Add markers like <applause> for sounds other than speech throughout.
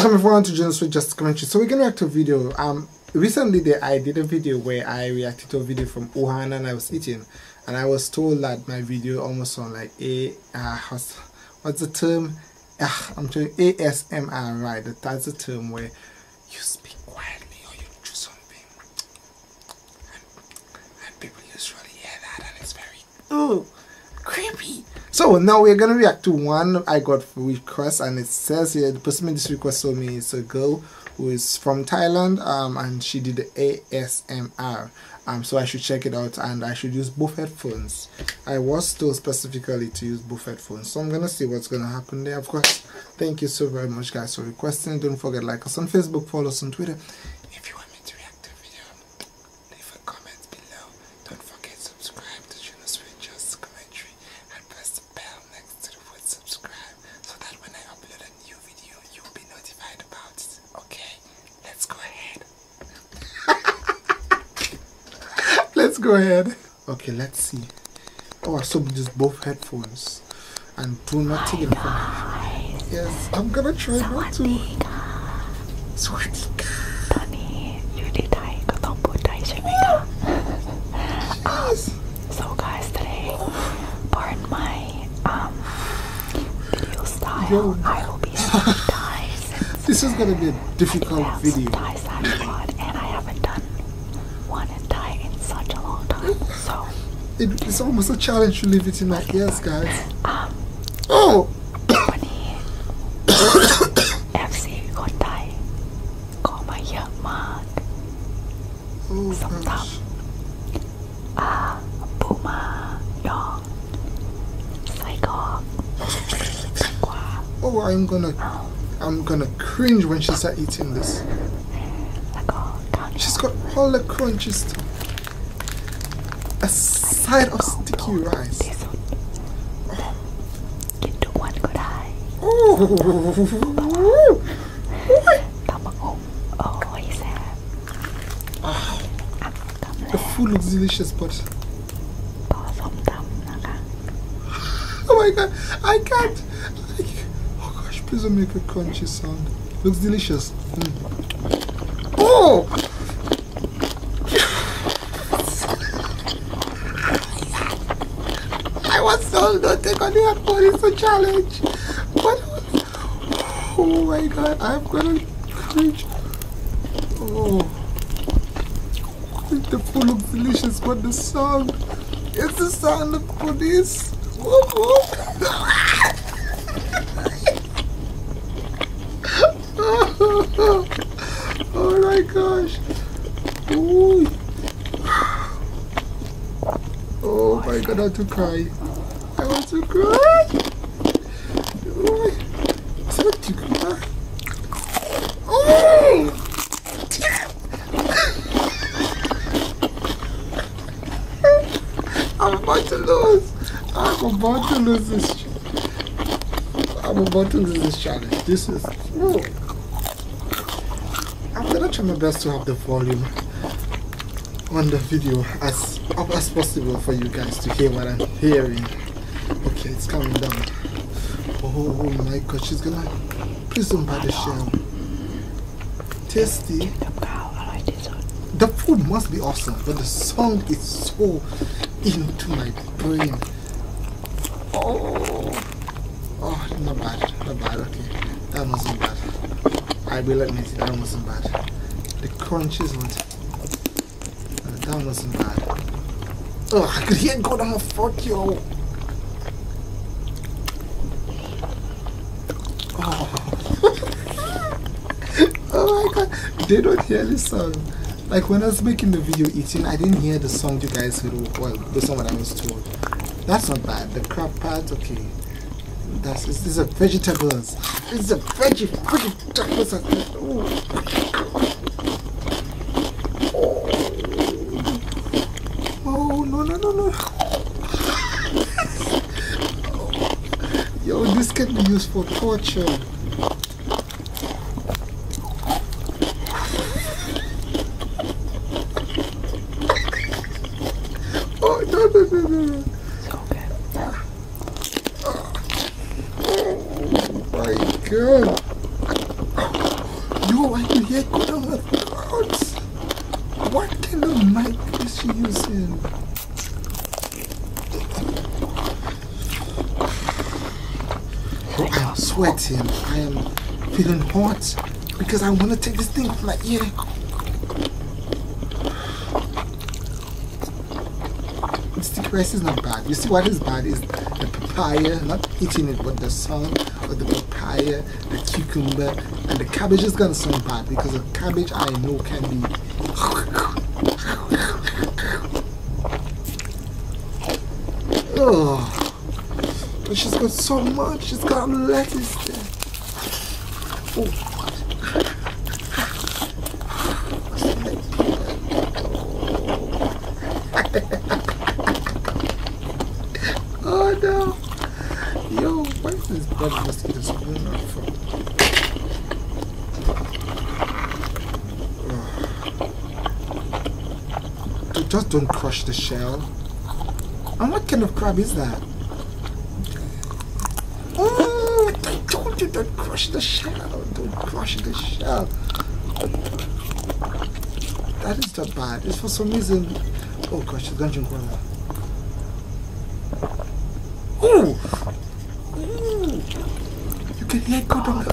Welcome everyone to Jonas with Just Commentary. So we're gonna react to a video. Um, recently there, I did a video where I reacted to a video from Ohana and I was eating, and I was told that my video almost on like a uh, what's, the term? Ah, I'm telling ASMR, right? That's the term where you speak quietly or you do something, and, people people really hear that, and it's very ooh creepy. So now we're gonna react to one I got Request and it says here the person made this request for me it's a girl who is from Thailand um, and she did the ASMR um, so I should check it out and I should use both headphones I was told specifically to use both headphones so I'm gonna see what's gonna happen there of course thank you so very much guys for requesting don't forget like us on Facebook follow us on Twitter don't forget subscribe to Juno's Just Commentary and press the bell next to the word subscribe so that when I upload a new video you'll be notified about it. Okay, let's go ahead. <laughs> let's go ahead. Okay, let's see. Oh, I sold just both headphones and do not take it off. Yes, I'm gonna try not to. <laughs> So guys today pardon my um video style I will be speaking This is gonna be a difficult I video some Thai side and I haven't done one in in such a long time so it's almost a challenge to leave it in my ears guys um, Oh! <coughs> <coughs> Oh, I'm gonna, I'm gonna cringe when she starts eating this. she She's got all the crunches. to- A side of sticky rice. กินทุกวันก็ได้ตำบักหุ่งโอ้ยแซ่บอักตำแล้ว The food looks delicious but Oh my god I can't I, Oh gosh please don't make a crunchy sound looks delicious mm. Oh I was told not take on the airport, it's challenge. What? oh my god, I'm gonna cringe. Oh. The food looks delicious, but the song. It's the sound of police. <laughs> <laughs> <laughs> oh my gosh. Ooh. Oh I want to to cry. I want to cry. Oh! <laughs> I'm about to lose. I'm about to lose this. I'm about to do this challenge. This is. Whoa. I'm gonna try my best to have the volume on the video as up as possible for you guys to hear what I'm hearing. Okay, it's coming down. Oh my god, she's gonna. Please don't buy the shell. Tasty. The food must be awesome, but the song is so into my brain. Oh, oh, not bad, not bad. Okay, that wasn't bad. I will me, it, that wasn't bad. The crunches were. Uh, that wasn't bad. Oh, I could hear Godam of fuck you. Oh. <laughs> oh my god, they don't hear this song. Like when I was making the video eating, I didn't hear the song you guys would, well, the song that I was told. That's not bad. The crab part, okay. That's, it's, it's a vegetables. It's a veggie, vegetables. Oh. oh, no, no, no, no. <laughs> Yo, this can be used for torture. Oh, no, no, no, no. It's Oh my god. You, I can hear the clouds. What kind of mic is she using? I'm sweating. I am feeling hot because I want to take this thing off my ear. Sticky rice is not bad. You see what is bad is the papaya, not eating it, but the sun of the papaya, the cucumber, and the cabbage is gonna sound bad because the cabbage I know can be. <sighs> Oh. And she's got so much. She's got lettuce there. Oh. <laughs> oh no! Yo, where is this just don't crush the shell. And what kind of crab is that? Oh, I told you don't crush the shell. Don't crush the shell. That is not bad. It's for some reason. Oh gosh, she's gonna drink water. Ooh! Ooh. You can hear it go down the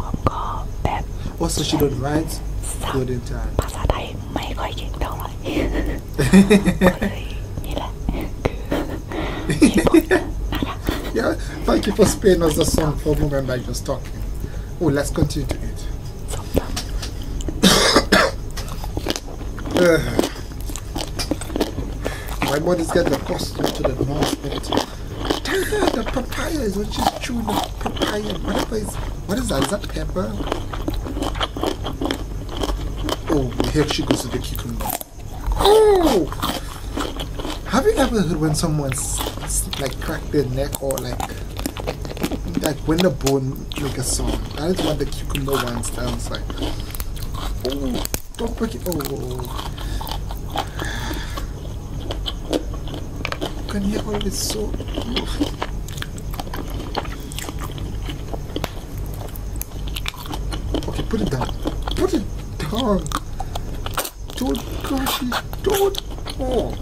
อ้อมก็แบบว่า so she don't write สับ good in time ภาษาไทยไม่ค่อยเก่งเท่าไหร่ก็เลยนี่แหละคือเหตุผลนะคะ yeah thank you for spaying us the song for a moment I just talking oh let's continue to eat <coughs> my body's getting accustomed to the non Tiger, the papaya is what she's chewing. The papaya, whatever what is that? Is that pepper? Oh, here she goes with the cucumber. Oh! Have you ever heard when someone's like cracked their neck or like like when the bone make a song? That is what the cucumber one sounds like. Oh, don't break it. Oh. oh, oh. Can Kann hier it so. Okay, put it down. Put it down. Don't crush it. Don't. Oh.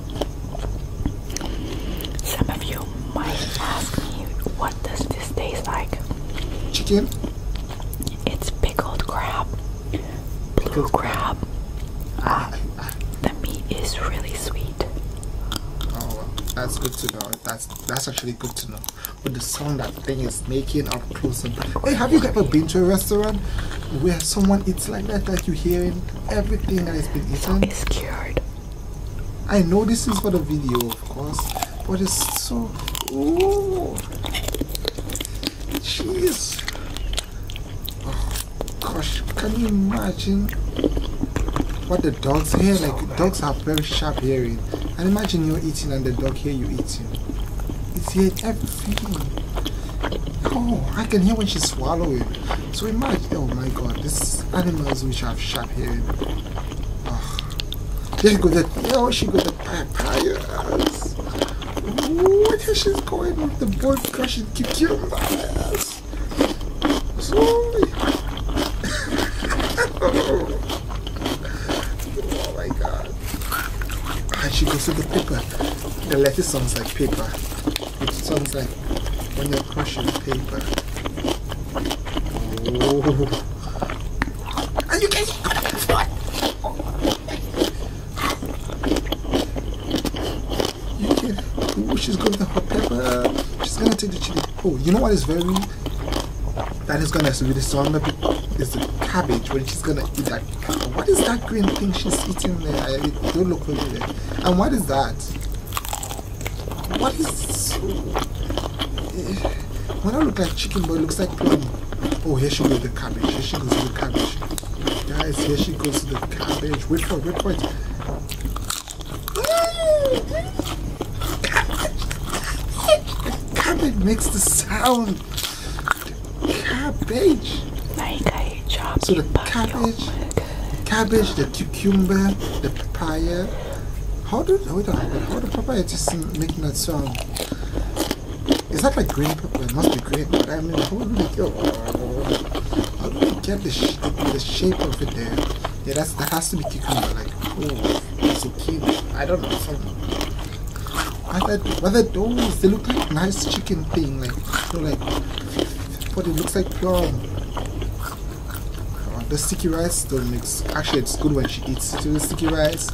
Some of you might ask me, what does this taste like? Chicken. It's pickled crab. Blue crab. Uh, the meat is really sweet. Oh, that's good to know. That's that's actually good to know. With the sound that thing is making up close and Hey, have you ever been to a restaurant where someone eats like that? that you hearing everything that has been eaten. It's scared. I know this is for the video, of course, but it's so. oh Jeez. Gosh, can you imagine what the dogs hear? Like, dogs have very sharp hearing. And imagine you're eating and the dog hear you eating. It's hear everything. Oh, I can hear when she's swallowing. So imagine, oh my god, these animals which have sharp hearing. Oh, she goes, the, oh, she goes, the papayas. Ooh, there she's going with the boy Crushing, keep kill my ass. Slowly. oh my god. I should go to the paper. The letter sounds like paper. It sounds like when you're crushing paper. Oh. And you can't yeah, Ooh, she's good with the pepper. She's gonna take the chili. Oh, you know what is very that is gonna be sound a bit it's the cabbage when she's gonna eat that. What is that green thing she's eating there? don't look familiar. And what is that? What is? Eh, when I look like chicken, but it looks like plum. Oh, here she goes with the cabbage. Here she goes with the cabbage. Guys, here she goes to the cabbage. Wait for it, wait for Cabbage. makes the sound. Cabbage. I got So the cabbage, cabbage, the cucumber, the papaya. How do, hold on, how the papaya just making that sound? Is that like green pepper? It must be green. But I mean, how do they kill? get the, the, shape of it there? Yeah, that has to be cucumber. Like, oh, it's a cucumber. I don't know. I thought, what are those? They look like nice chicken thing. Like, you know, like, but it looks like plum. Uh, the sticky rice don't mix. Actually, it's good when she eats it. The sticky rice,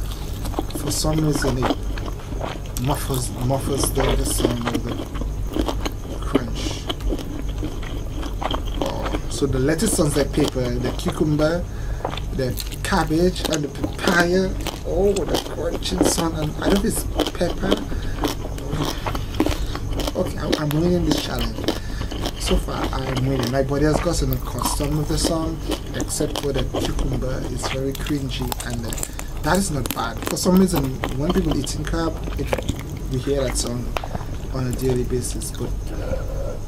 for some reason, muffles muffles the, the sound of the crunch. Oh, so the lettuce sounds like paper, the cucumber, the cabbage, and the papaya. Oh, the crunching sound, and I don't know it's pepper. Okay, I, am winning this challenge. So far, I'm winning. My body has got the accustomed of the song, except for the cucumber. It's very cringy, and the that is not bad. For some reason, when people eating crab, we hear that song on a daily basis. But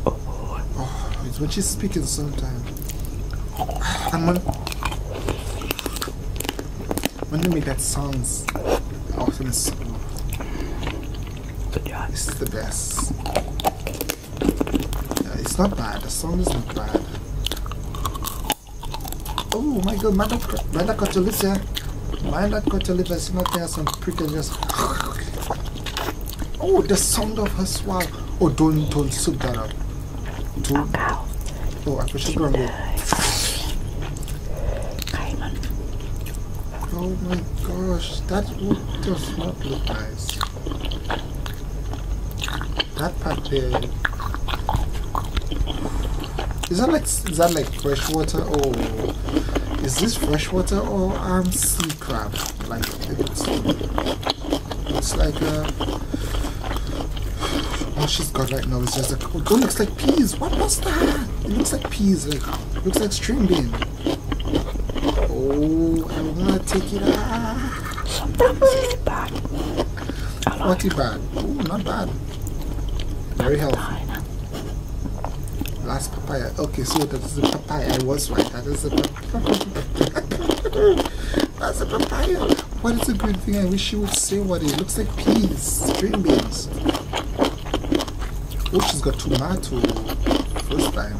oh, when she's speaking sometimes. And when, when make that sounds, often so. Good This is the best. it's not bad. The song is not bad. Oh my god, Manda Cotolipsia. Manda Cotolipsia is not there, some pretty just. Oh, the sound of her swallow. Oh, don't, don't soup that up. Don't. Oh, I should go and Oh my gosh, that would does not look nice. That is that like is that like fresh water or is this fresh water or um sea crab? Like it's, it's like a what she's got right now is just like oh, it looks like peas. What was that? It looks like peas. Like looks like string bean. Oh, I wanna take it out. That was bad. Not bad. Oh, not bad. Very healthy. Last papaya. Okay, so that is the papaya. I was right. That is the <laughs> papaya. What is a green thing? I wish you would see what it looks like peas, green beans. Oh, she's got tomato. First time.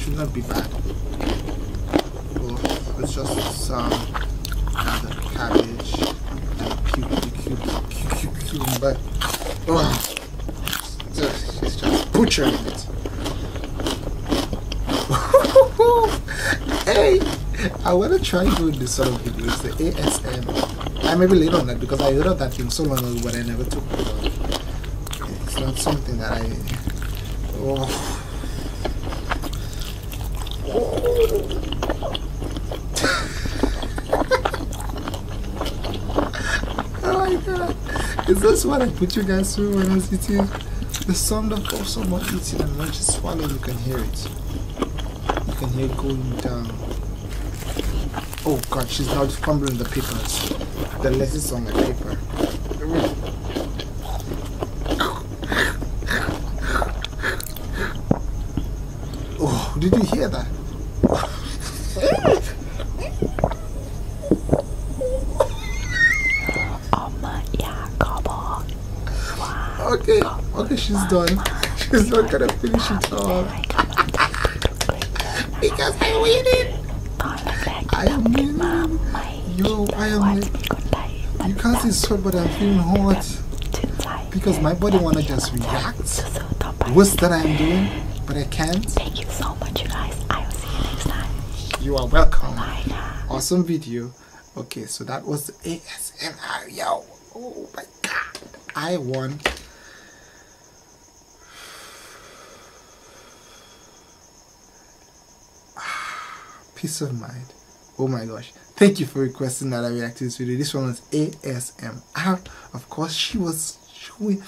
Should not be bad. Oh, it's just some um, cabbage cucumber. Oh, it. hey, I want to try doing this sort of videos, the ASM. I may be late on that because I heard of that thing so long ago, but I never took it. It's not something that I. Oh. Is this what I put you guys through when I was eating? The sound of someone eating and not just swallow, you can hear it. You can hear it going down. Oh god, she's now fumbling the papers. The letters on the paper. Oh, did you hear that? oh my, yeah, Okay, okay, she's done. She's not gonna finish it all. because I waited. I am yo, I am. You can't see sweat, but I'm feeling hot because my body wanna just react Worst that I'm doing, but I can't. Thank you so much, you guys. I will see you next time. You are welcome. Awesome video. Okay, so that was the ASMR. Yo, oh my god, I won. <sighs> Peace of mind oh my gosh thank you for requesting that i react to this video this one was asmr of course she was showing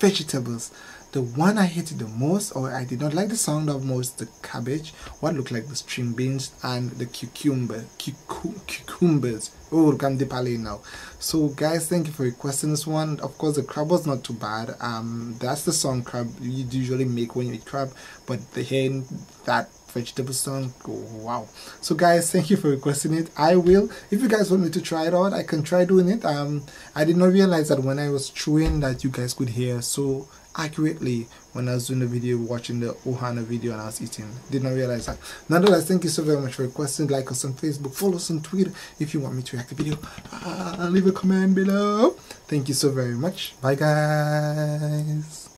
vegetables the one i hated the most or i did not like the sound of most the cabbage what looked like the string beans and the cucumber cucumbers oh come de now so guys thank you for requesting this one of course the crab was not too bad um that's the song crab you usually make when you eat crab but the hand that vegetable song wow so guys thank you for requesting it i will if you guys want me to try it out i can try doing it um i did not realize that when i was chewing that you guys could hear so accurately when i was doing the video watching the ohana video and i was eating did not realize that nonetheless thank you so very much for requesting like us on facebook follow us on twitter if you want me to react to video uh, leave a comment below thank you so very much bye guys